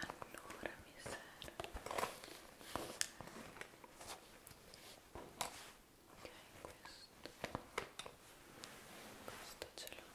Allora mi serve ok questo questo ce l'ho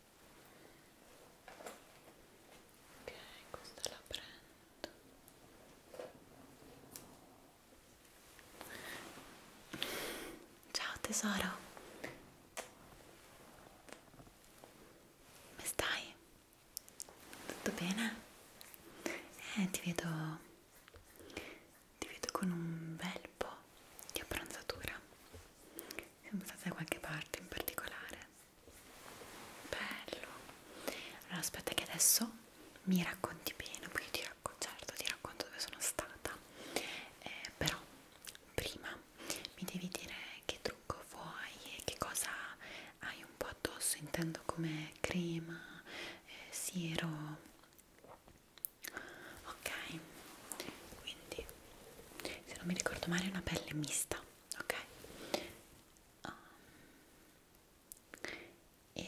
ok questa la prendo ciao tesoro come stai? tutto bene? eh ti vedo ti vedo con un bel po' di abbronzatura siamo state da qualche parte in particolare bello allora aspetta che adesso mi racconti bene poi ti racconto, certo ti racconto dove sono stata eh, però prima mi devi dire che trucco vuoi e che cosa hai un po' addosso intendo come crema eh, siero ok quindi se non mi ricordo male è una pelle mista ok? Um, e,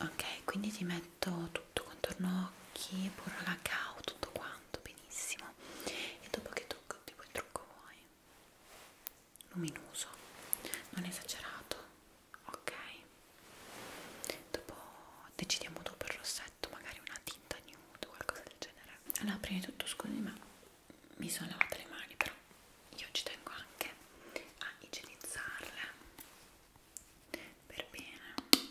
ok, quindi ti metto tutto contorno occhi, pure cacao, tutto quanto, benissimo. E dopo che tocco tipo il trucco vuoi? Luminoso, non esagerato, ok? Dopo decidiamo dopo il rossetto, magari una tinta nude o qualcosa del genere allora prima di tutto scusi ma mi sono lavata le mani però io ci tengo anche a igienizzarle per bene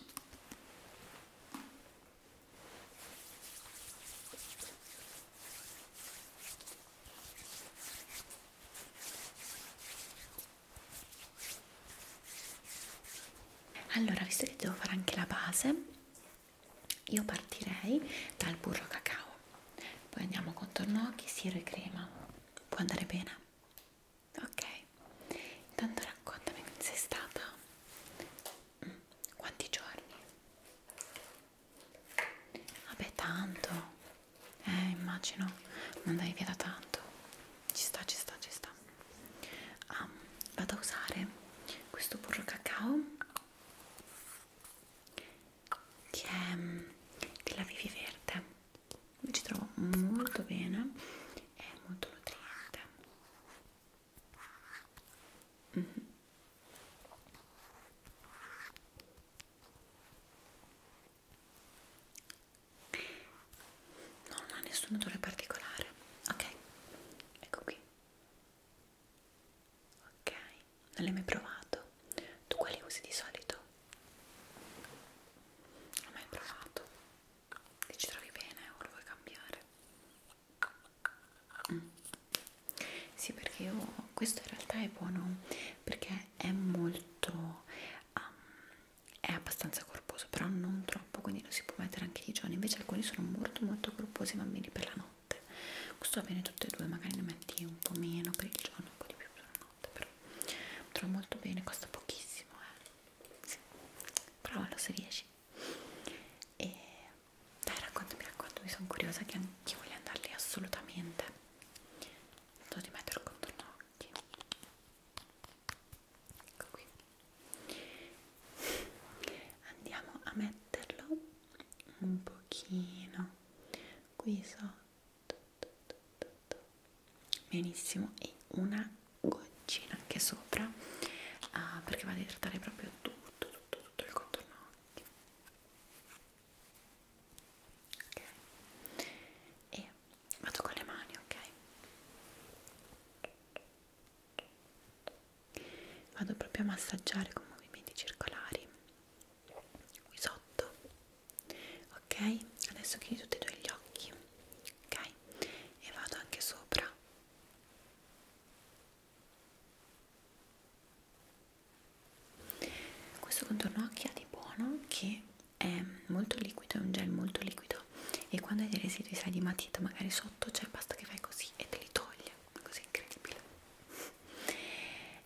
allora visto che devo fare anche la base io partirei dal burro cacao poi andiamo con tornocchi, siero e crema può andare bene ok intanto raccontami come sei stata mm. quanti giorni vabbè tanto eh immagino non dai via da tanto ci sta ci sta ci sta ah, vado a usare questo burro cacao che è mm, della Vivi Verde mi ci trovo molto bene è molto nutriente mm -hmm. Non ha nessun odore particolare, ok? Ecco qui ok non l'hai mai provato tu quali usi di solito non l'hai mai provato ti ci trovi bene o lo vuoi cambiare mm. sì perché io questo in realtà è buono perché è molto um, è abbastanza corposo però non troppo troppo quindi lo si può mettere anche di giorno invece alcuni sono molto molto corposi i bambini per la notte questo va bene tutti e due magari ne metti un po' meno per il giorno un po' di più per la notte però trovo molto bene costa pochissimo eh. sì. provalo se riesci e dai raccontami raccontami sono curiosa che anche voglio andarli assolutamente devo ti mettere contro gli occhi ecco qui andiamo a metterlo un pochino qui sotto benissimo e una goccina anche sopra uh, perché va a idratare proprio tutto tutto tutto il contorno occhio ok e vado con le mani ok vado proprio a massaggiare con movimenti circolari qui sotto ok adesso chiudi tutti e due gli occhi ok e vado anche sopra questo contorno occhi ha di buono che è molto liquido è un gel molto liquido matita e quando hai dei residui sai di matita magari sotto c'è basta che fai così e te li toglie così incredibile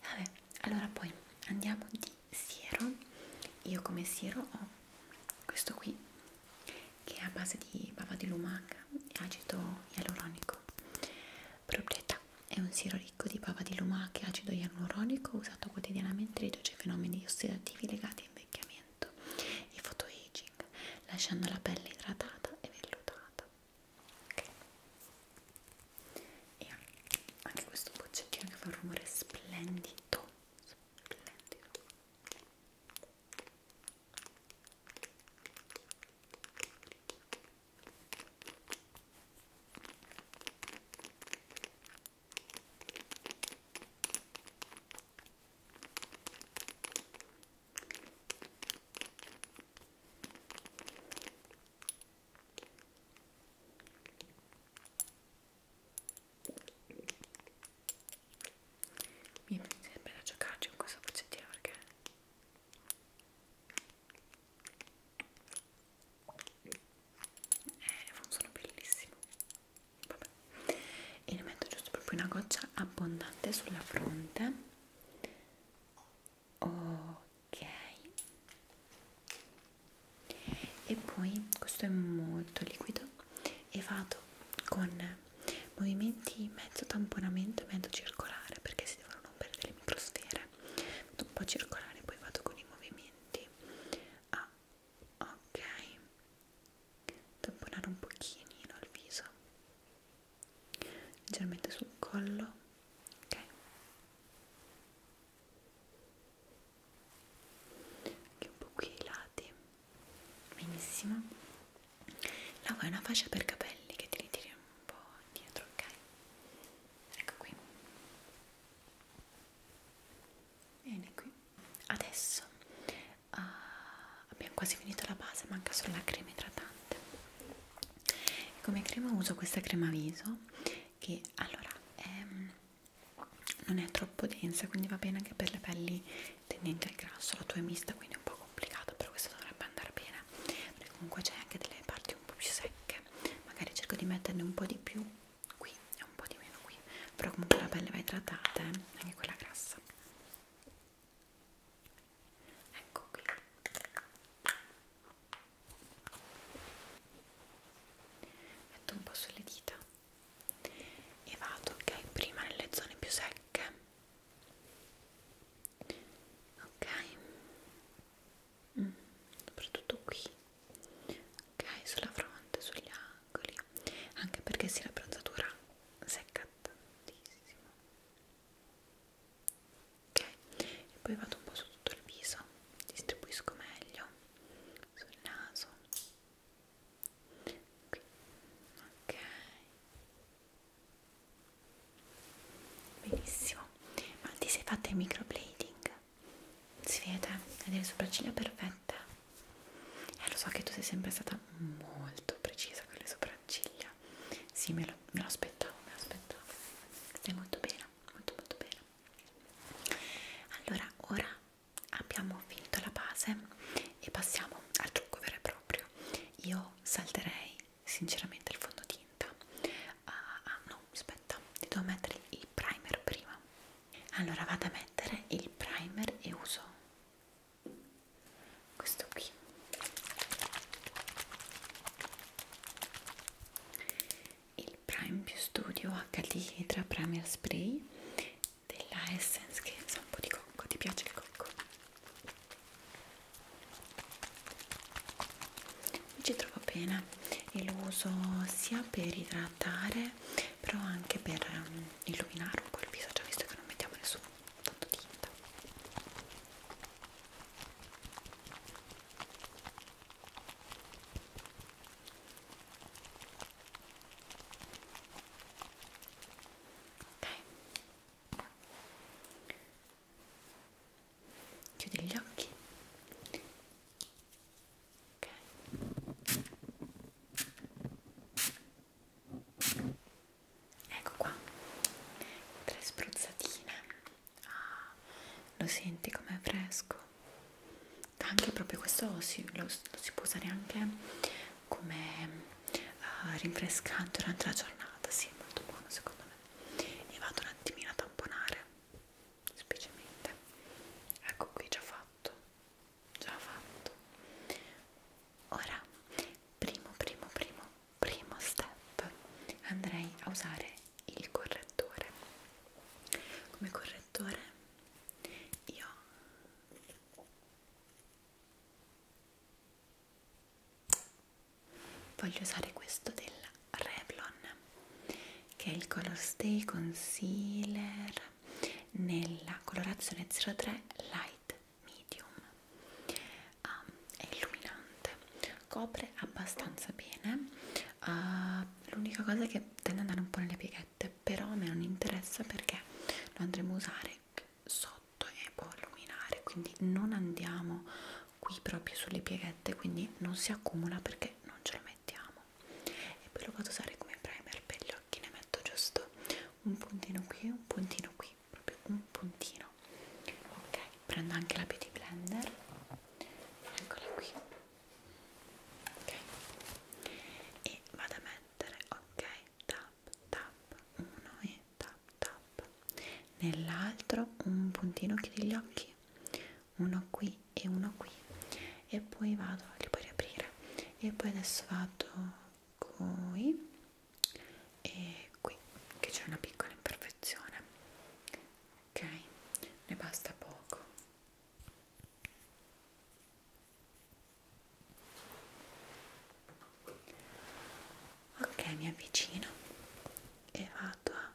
vabbè allora poi andiamo di siero io come siero ho questo qui che è a base di bava di lumaca e acido ialuronico proprietà è un siero ricco di bava di lumaca e acido ialuronico usato quotidianamente riduce fenomeni ossidativi legati a invecchiamento e photoaging, lasciando la pelle idratata e vellutata. Okay. E anche questo boccettino che fa un rumore splendido. splendido. Mi sembra da giocarci con questa boccettino perché eh, funziona bellissimo Vabbè. e ne metto giusto proprio una goccia abbondante sulla fronte ok e poi questo è molto liquido e vado con movimenti mezzo tamponamento e mezzo circolare perché si devono non perdere le microsfere vado un po' circolare poi vado con i movimenti a ok tamponare un pochino il viso leggermente sul collo ok anche un po' qui ai lati benissimo la vuoi una fascia per capelli che ti ritiri un po' indietro ok ecco qui Bene, qui. Adesso uh, abbiamo quasi finito la base, manca solo la crema idratante. E come crema uso questa crema viso che allora è, non è troppo densa, quindi va bene anche per le pelli tendenti al grasso. La tua è mista, quindi è un po' complicato, però questo dovrebbe andare bene. Perché comunque c'è anche delle parti un po' più secche. Magari cerco di metterne un po' di più qui e un po' di meno qui però comunque la pelle va idratata eh? anche quella grassa ecco qui metto un po' sulle dita e vado ok prima nelle zone più secche ok mm, soprattutto qui ok sulla fronte sugli angoli anche perché si la bronzatura secca tantissimo ok e poi vado un po' su tutto il viso distribuisco meglio sul naso qui ok benissimo ma ti sei fatta il microblading si vede, hai delle sopracciglia perfette e eh, lo so che tu sei sempre stata molto precisa con le sopracciglia sì, me lo, me lo aspettavo, me lo aspettavo stai molto bene, molto molto bene allora, ora abbiamo finito la base e passiamo al trucco vero e proprio io salterei sinceramente il fondotinta ah, ah no, aspetta, ti devo mettere il primer prima allora vado a mettere il primer e uso questo qui il prime più studio HD tra primer spray della essence che sa un po' di cocco ti piace il cocco mi ci trovo bene e lo uso sia per i tra idratare però anche per um, illuminare un po' il viso, già visto che non mettiamo nessun fondotinta ok chiudi gli occhi ok ecco qua tre spruzzatine ah, lo senti com'è fresco anche proprio questo si, lo, lo si può usare anche come uh, rinfrescante durante la giornata sì, molto buono secondo me e vado un attimino a tamponare semplicemente ecco qui già fatto già fatto ora primo primo primo primo step andrei a usare il correttore come correttore io voglio usare questo della Revlon che è il Color Stay Concealer nella colorazione 03 Light Medium um, è illuminante copre abbastanza bene uh, l'unica cosa che tende ad andare un po' nelle pieghette però a me non interessa perché lo andremo a usare sotto e può illuminare quindi non andiamo qui proprio sulle pieghette quindi non si accumula perché non ce lo mettiamo e poi lo vado a usare come primer per gli occhi ne metto giusto un puntino qui un puntino qui proprio un puntino ok prendo anche la beauty blender eccola qui ok e vado a mettere ok tap tap uno e tap tap nell'altro un puntino chiudi gli occhi uno qui e uno qui e poi vado li puoi riaprire e poi adesso vado qui e qui che c'è una piccola imperfezione ok ne basta poco ok mi avvicino e vado a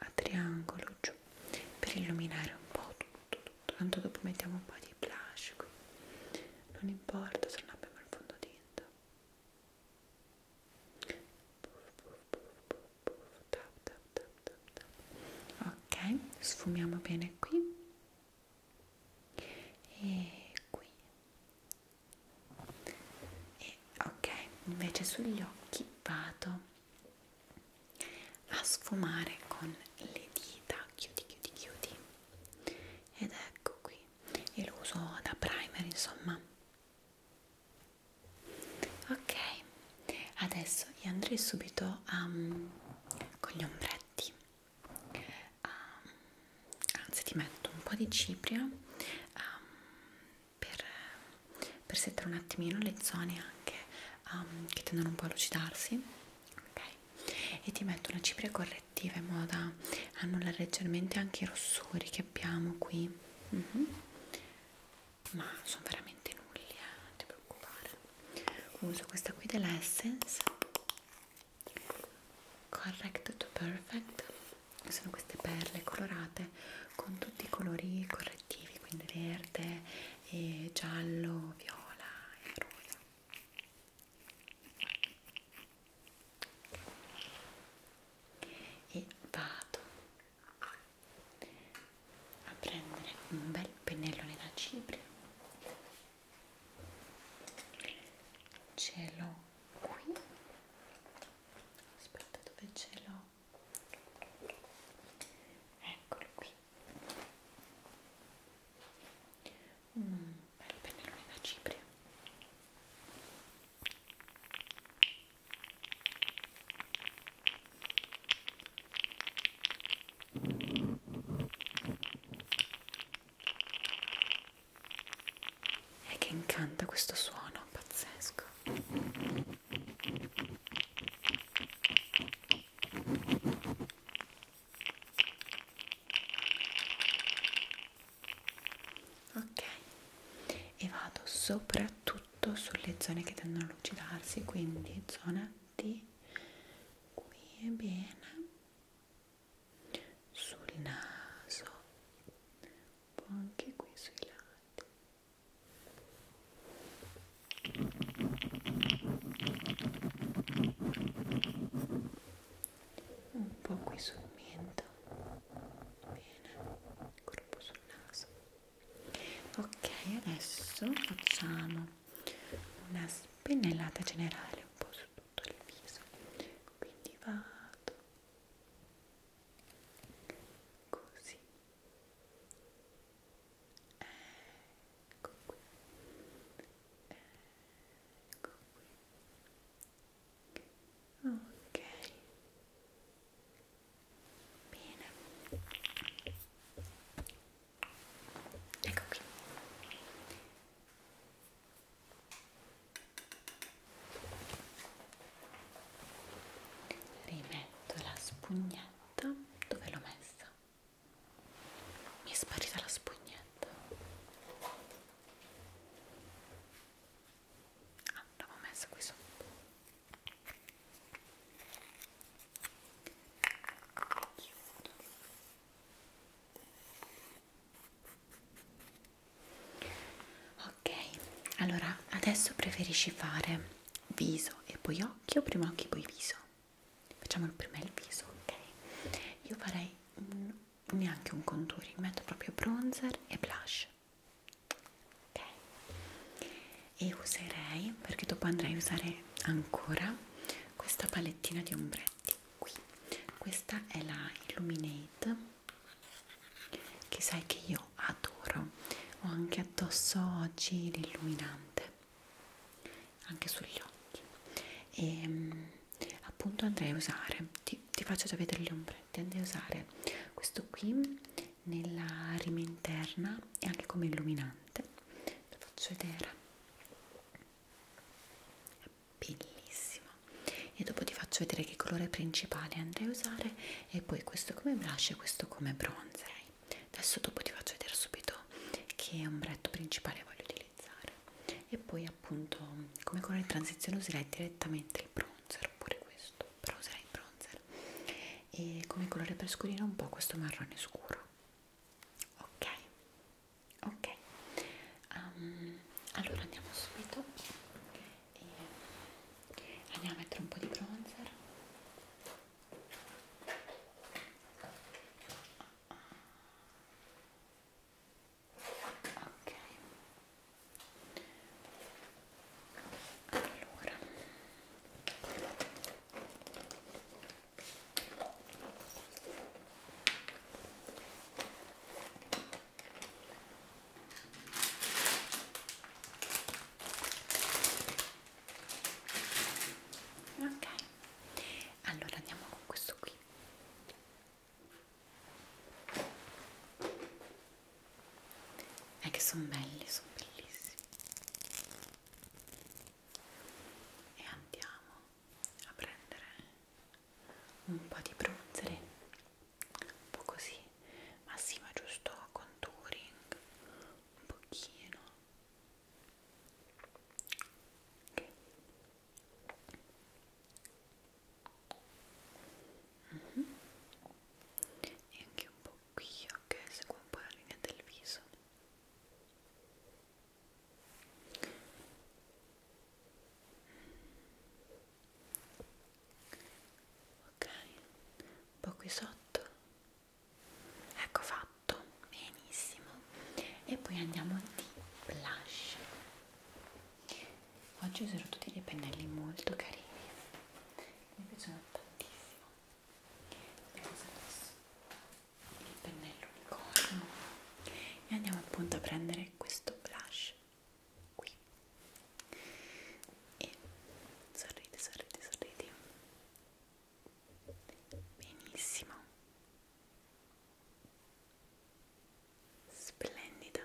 a triangolo giù per illuminare un po' tutto, tutto. tanto dopo mettiamo un po' di blush qui non importa se non abbiamo il fondotinta ok sfumiamo bene qui e qui e ok invece sugli occhi vado a sfumare con le dita chiudi chiudi chiudi ed ecco qui e lo uso da primer insomma ok adesso io andrei subito um, con gli ombretti um, anzi ti metto un po' di cipria um, per, per settare un attimino le zone anche um, che tendono un po' a lucidarsi okay. e ti metto una cipria correttiva in modo da annullare leggermente anche i rossori che abbiamo qui mm -hmm. ma sono veramente nulli eh, non ti preoccupare uso questa qui dell'Essence Correct to Perfect sono queste perle colorate con tutti i colori correttivi quindi verde e giallo viola e rosa e vado a prendere un bel pennellone da cipria ce l'ho qui aspetta dove ce l'ho eccolo qui un mm, bel pennellone da cipria e che incanta questo suono pazzesco ok e vado soprattutto sulle zone che tendono a lucidarsi quindi zona di qui è bene sul naso un po' anche qui sui lati un po' qui sul mento bene gruppo sul naso ok adesso facciamo una spennellata generale un po' su tutto il viso quindi vado così ecco qui ecco qui ok bene ecco qui rimetto la spugnetta dove l'ho messa mi è sparita la spugnetta ah l'avevo messa qui sotto chiudo ok allora adesso preferisci fare viso e poi occhi o prima occhi e poi viso facciamo prima il viso ok io farei un, neanche un contouring metto proprio bronzer e blush ok e userei perché dopo andrei a usare ancora questa palettina di ombretti qui questa è la illuminate che sai che io adoro ho anche addosso oggi l'illuminante anche sugli occhi e ehm, appunto andrei a usare ti, ti faccio già vedere le ombrette andrei a usare questo qui nella rima interna e anche come illuminante lo faccio vedere è bellissimo e dopo ti faccio vedere che colore principale andrei a usare e poi questo come blush e questo come bronzer adesso dopo ti faccio vedere subito che ombretto principale voglio utilizzare e poi appunto come colore di transizione userei direttamente il bronzer oppure questo però userei il bronzer e come colore per scurire un po' questo marrone scuro ok ok um, allora andiamo subito okay e andiamo a mettere un po' di bronzer ok allora ok allora andiamo con questo qui è che sono belli sono bellissimi e andiamo a prendere un po' di bronzer, un po' così, ma sì, ma giusto contouring, un pochino. Okay. Mm -hmm. E anche un po' qui, ok, seguo un po' la linea del viso. Mm ok un po' qui sotto ecco fatto benissimo e poi andiamo di blush oggi userò tutti dei pennelli molto carini mi piacciono tantissimo adesso il pennello unicorno e andiamo appunto a prendere questo blush qui e sorridi, sorridi, sorridi benissimo splendida